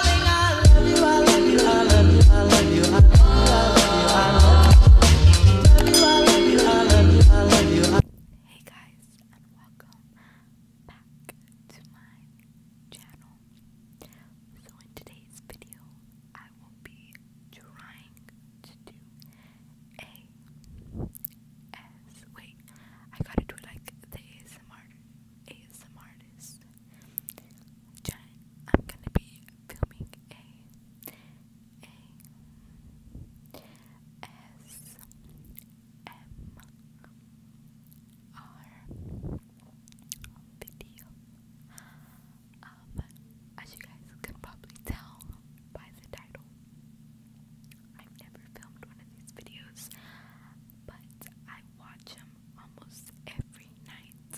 Hey guys, and welcome back to my channel. So, in today's video, I will be trying to do a S. Wait, I gotta do it like the ASMR, ASMRist. I'm gonna be filming a a S M R video. Um, as you guys can probably tell by the title, I've never filmed one of these videos, but I watch them almost every night.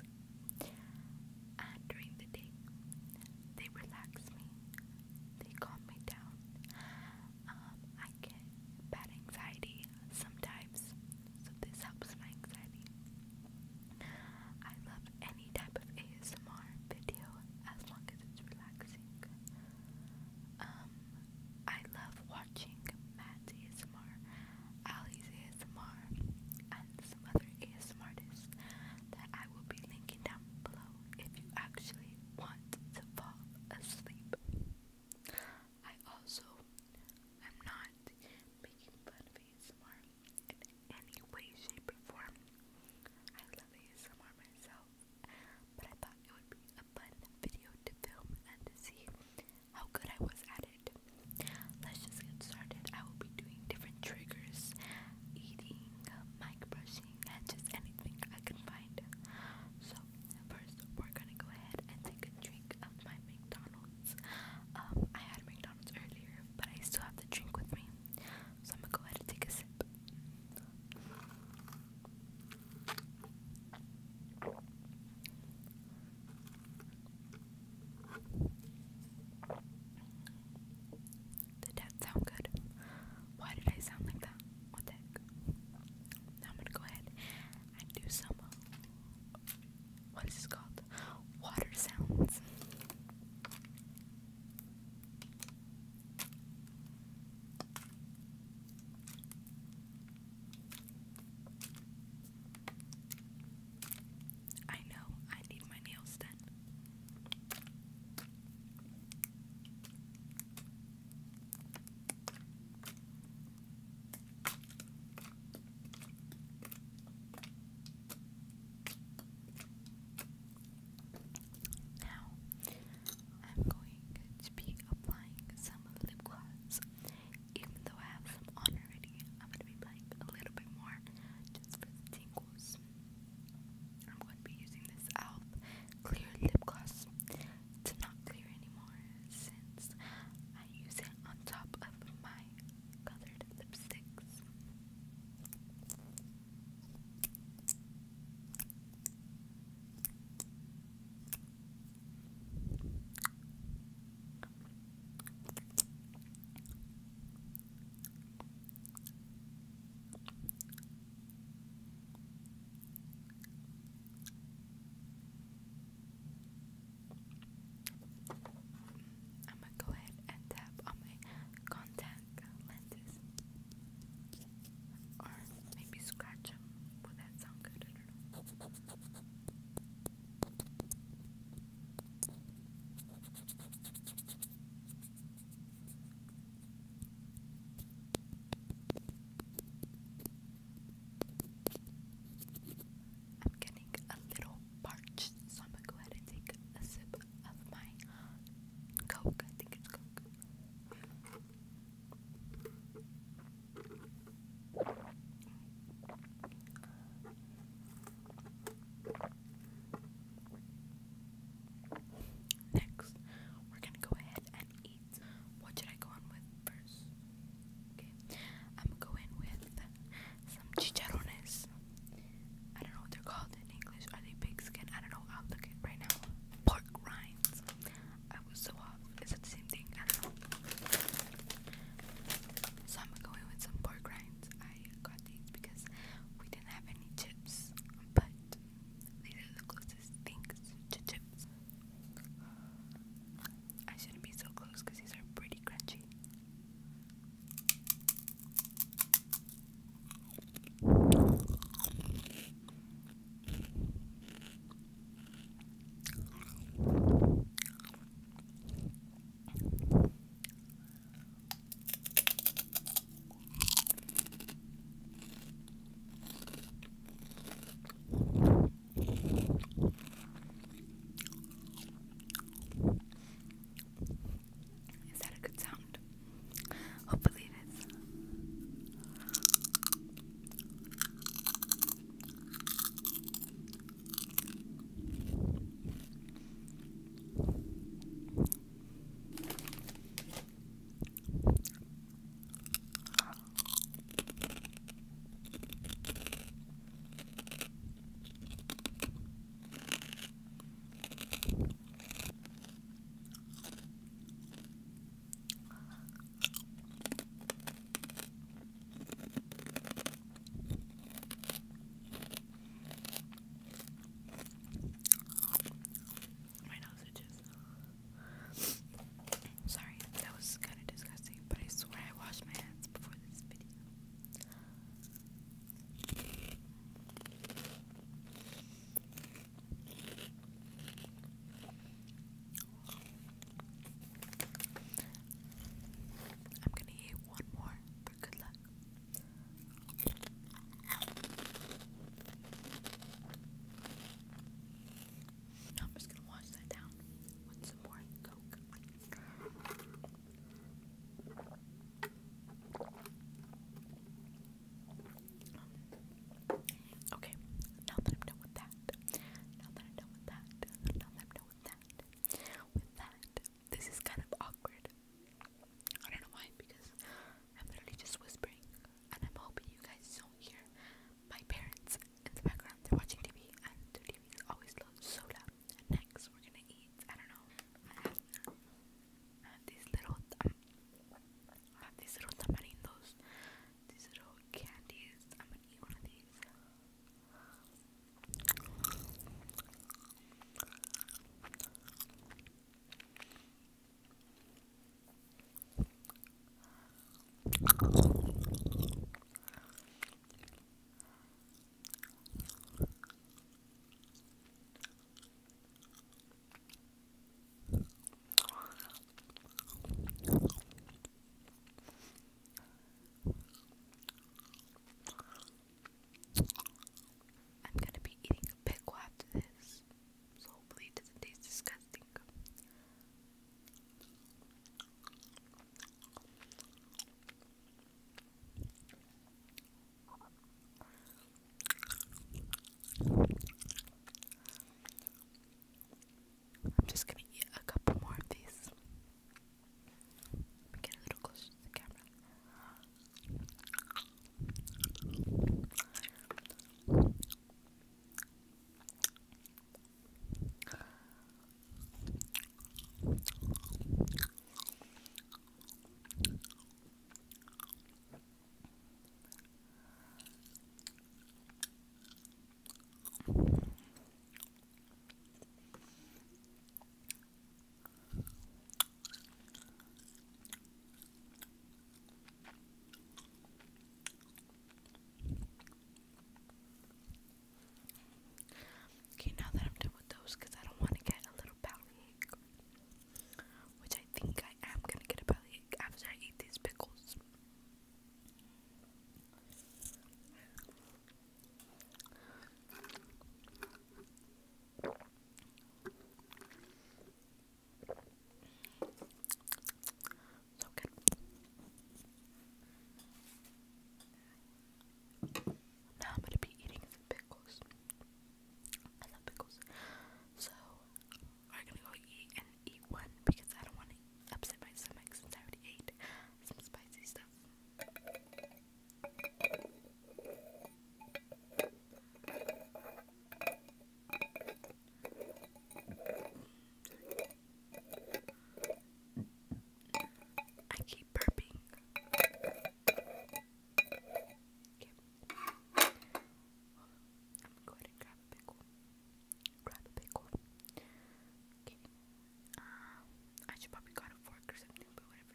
And during the day, they relax me, they calm me down. Um, I get bad anxiety sometimes, so this helps my anxiety. I love any type of ASMR video as long as it's relaxing. Um, I love watching Matt's ASMR, Ali's ASMR, and some other ASMR artists that I will be linking down below if you actually want to fall asleep. I also am not making fun of ASMR in any way, shape, or form. I love ASMR myself, but I thought it would be a fun video to film and to see how good I was at it. Let's just get started. I will be doing different triggers, eating, mic brushing, and just anything I can find. So first, we're gonna go ahead and take a drink of my McDonald's. Um, I had McDonald's earlier, but I still have the drink with me, so I'm gonna go ahead and take a sip. Did that sound good? Why did I sound like that? What the heck? Now I'm gonna go ahead and do some. What is this called? Water sounds. I know I need my nails done. Now, I'm going to be applying some lip gloss. Even though I have some on already, I'm going to be applying a little bit more just for the tingles. I'm going to be using this Alf Clear Lip Gloss. It's not clear anymore since I use it on top of my colored lipsticks. I'm gonna go ahead and tap on my contact lenses. Or maybe scratch them. Would that sound good? I don't know. I'm getting a little parched, so I'm gonna go ahead and take a sip of my Coke. I think it's Coke. Next, we're gonna go ahead and eat. What should I go on with first? Okay, I'm gonna go in with some chicharrones. I don't know what they're called in English. Are they pig skin? I don't know. I'll look it right now. Pork rinds. I was so off. Is it the same thing? So I'm going with some pork rinds. I got these because we didn't have any chips, but these are the closest things to chips. I shouldn't be so close because these are pretty crunchy. Is that a good sound? Hopefully it is. My nose itches. Sorry, that was kind of disgusting, but I swear I washed my hands before this video. I'm gonna eat one more for good luck. I'm just gonna wash that down with some more Coke. Okay, now that I'm with that, now that I'm with that, now that I'm with that, with that, this is kind of awkward. I don't know why, because I'm literally just whispering, and I'm hoping you guys don't hear my parents in the background. They're watching TV, and their TV is always so loud. next, we're gonna eat. I don't know. these little. Um, I have these little tamarindos, these little candies. I'm gonna eat one of these. I'm gonna be eating a pickle after this, hopefully it doesn't taste disgusting. I'm just gonna eat a couple more of these. Let me get a little closer to the camera. Okay, now that I'm done with those, I don't want to get a little pouty. Which I think I am gonna get a bellyache after I eat these pickles. So good. Now I'm gonna be eating pickles. I love pickles. So we're gonna go eat and eat one because I don't want to upset my stomach since I already ate some spicy stuff. I keep burping. Go ahead I should probably got a fork or something, but whatever.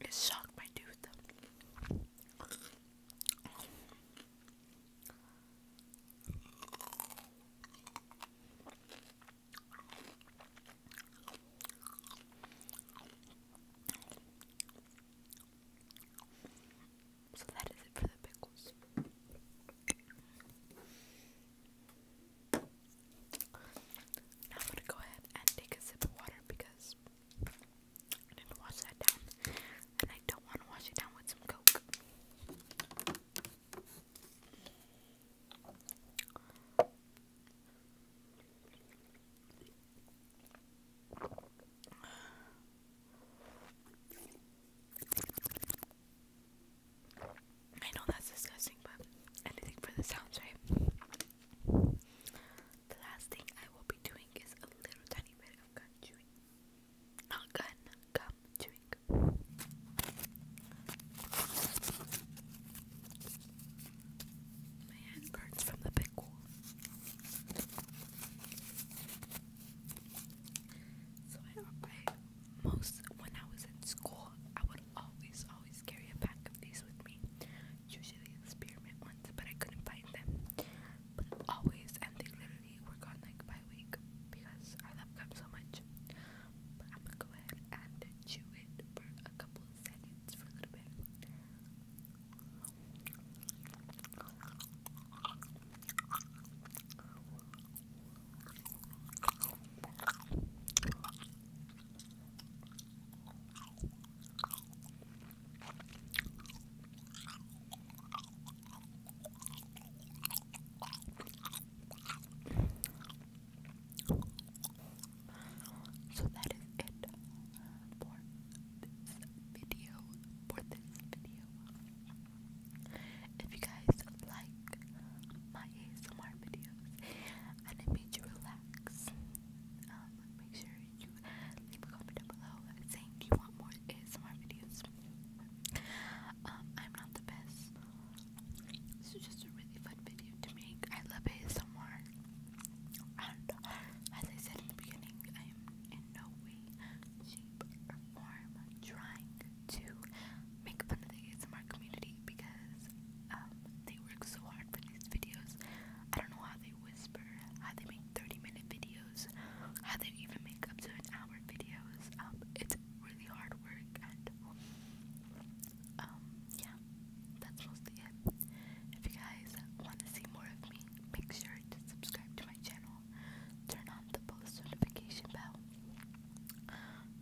It shocked my tooth. So that is it for the pickles. Now I'm gonna go ahead and take a sip of water because I didn't wash that down, and I don't want to wash it down with some Coke. I know that's disgusting, but anything for the sounds, right? The last thing I will be doing is a little tiny bit of gum chewing. Not gun, gum chewing. My hand burns from the pickle. So I, I most when I was in school, I would always, always carry a pack of these with me. Usually the experiment ones, but I couldn't find them. But always, and they literally were gone like by week because I love them so much. But I'm gonna go ahead and chew it for a couple seconds for a little bit. So that is it for this video. For this video. If you guys like my ASMR videos and it made you relax, um, make sure you leave a comment down below saying you want more ASMR videos. Um, I'm not the best. This is just a really fun video to make. I love ASMR. And as I said in the beginning, I am in no way, shape, or form trying to make fun of the in our community because um, they work so hard for these videos. I don't know how they whisper, how they make 30 minute videos, how they even make up to an hour videos. Um, it's really hard work, and um, yeah, that's mostly it. If you guys want to see more of me, make sure to subscribe to my channel, turn on the post notification bell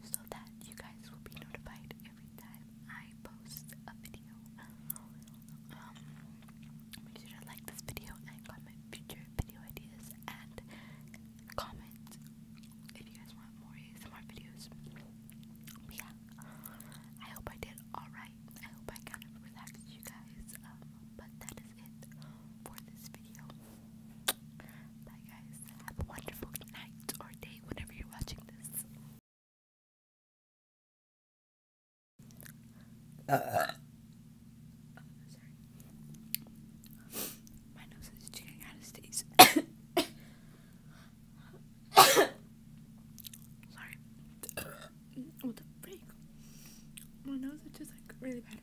so that you guys will be notified every time I post a video. Um, make sure to like this video and comment future video ideas and comment if you guys want more ASMR videos. yeah, I hope I did alright. I hope I kind of relaxed you guys. Um, but that is it for this video. Bye, guys. Have a wonderful night or day whenever you're watching this. My nose is getting out of stays. sorry. what the freak? My nose is just like really bad.